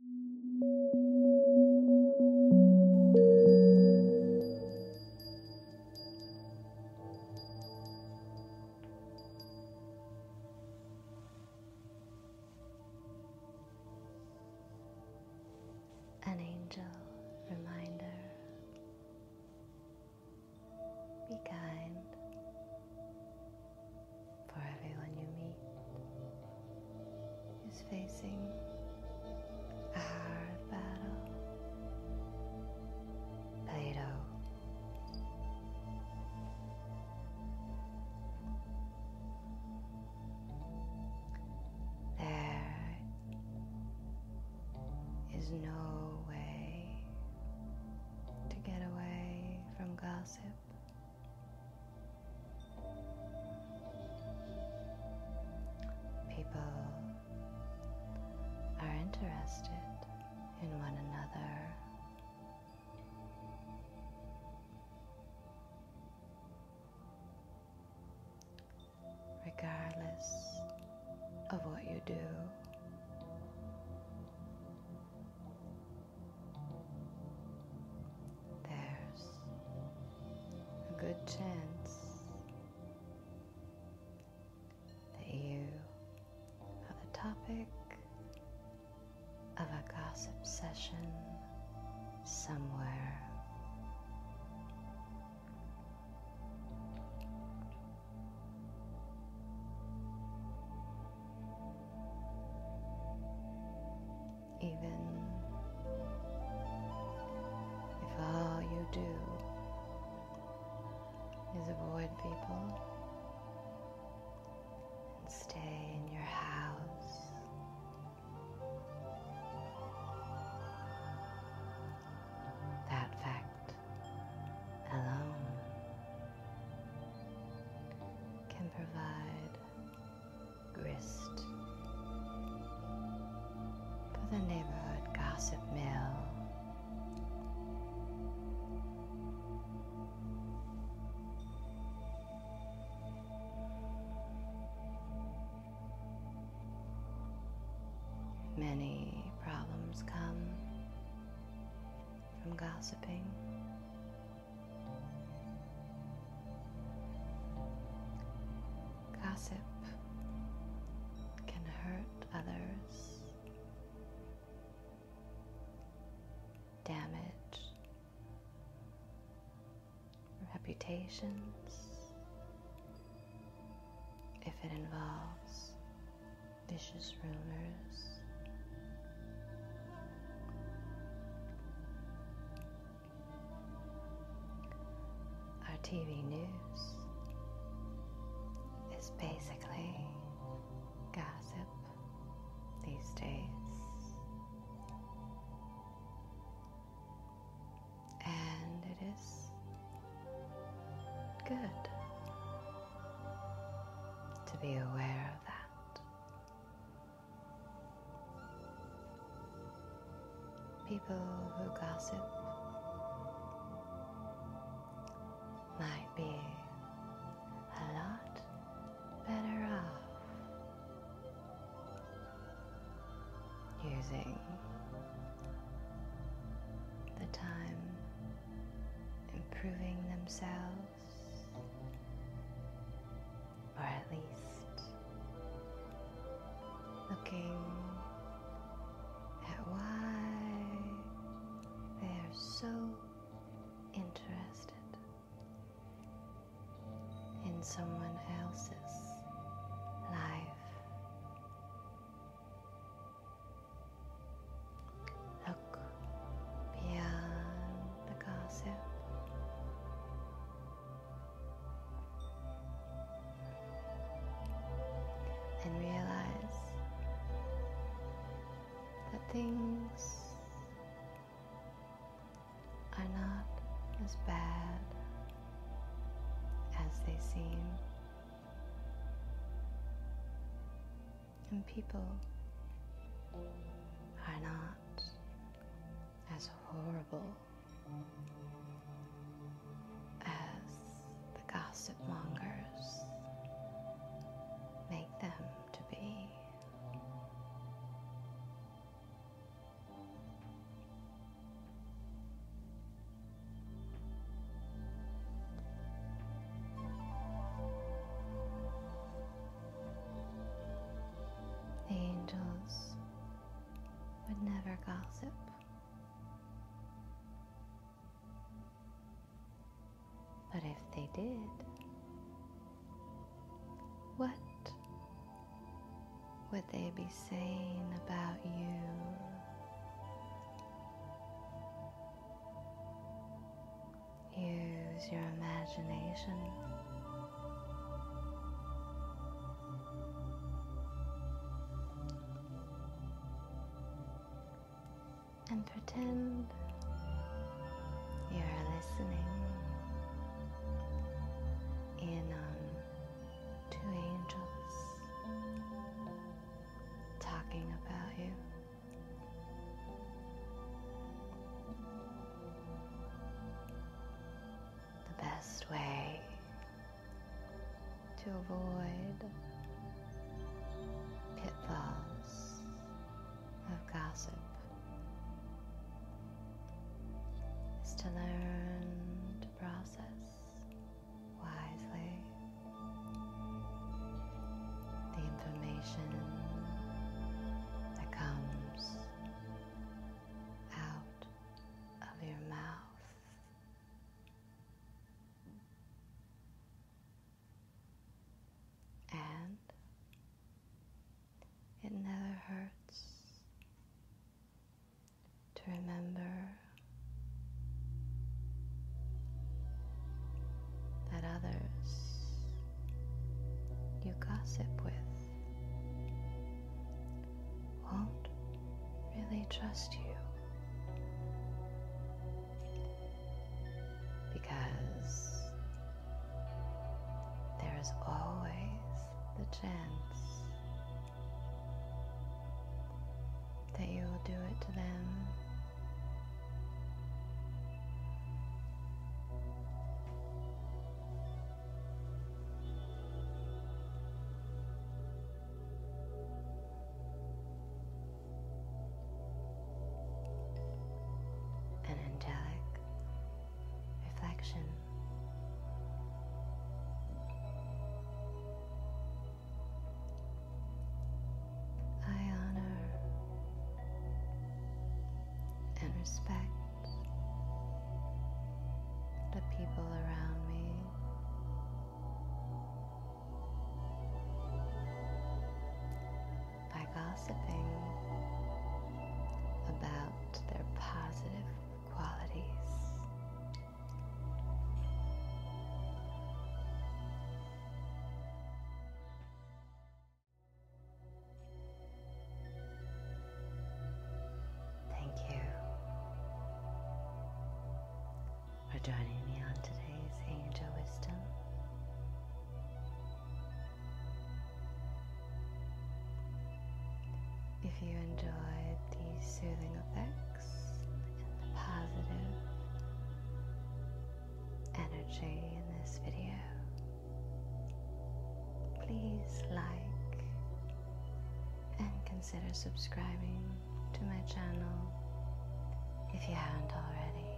An angel reminder. Be kind for everyone you meet is facing a hard battle. Plato. There is no way to get away from gossip. People are interested in one another. Regardless of what you do, there's a good chance that you are the topic of a gossip session somewhere. Even if all you do is avoid people and stay in your house, that fact alone can provide grist for the neighborhood gossip mill. Many problems come from gossiping. Gossip can hurt others, damage reputations if it involves vicious rumors our TV news is basically gossip these days, and it is good to be aware of that. People who gossip might be a lot better off using the time improving themselves or at least looking at why they are so interested in someone else's life. Look beyond the gossip. And realize that things are not as bad as they seem and people are not as horrible as the gossip mongers make them to be angels would never gossip. But if they did, what would they be saying about you? Use your imagination. And pretend you're listening in on two angels talking about you. The best way to avoid pitfalls of gossip is to learn to process wisely. The information that comes out of your mouth. And it never hurts to remember that others you gossip with won't really trust you. Because there is always the chance that you will do it to them an angelic reflection. I honor and respect the people around me. By gossiping about their positive qualities Thank you for joining me on today's Angel Wisdom. If you enjoyed the soothing effect, and the positive energy in this video, please like and consider subscribing to my channel if you haven't already.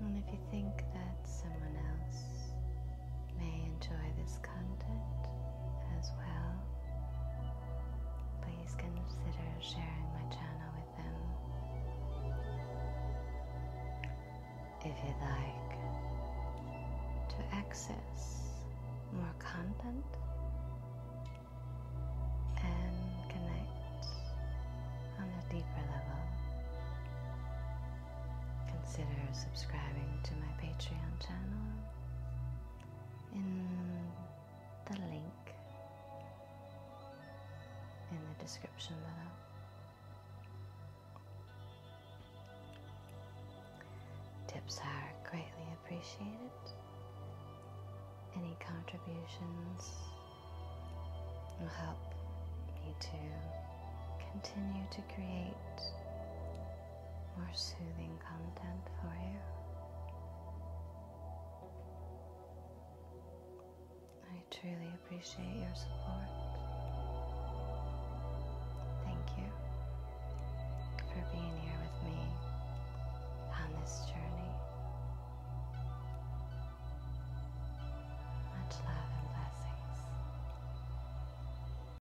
And if you think that someone else may enjoy this content as well, please consider sharing my channel with them. If you'd like to access more content and connect on a deeper level, consider subscribing to my Patreon channel in the link in the description below. Tips are greatly appreciated. Any contributions will help me to continue to create more soothing content for you. I truly appreciate your support. Thank you for being here with me on this journey. Much love and blessings.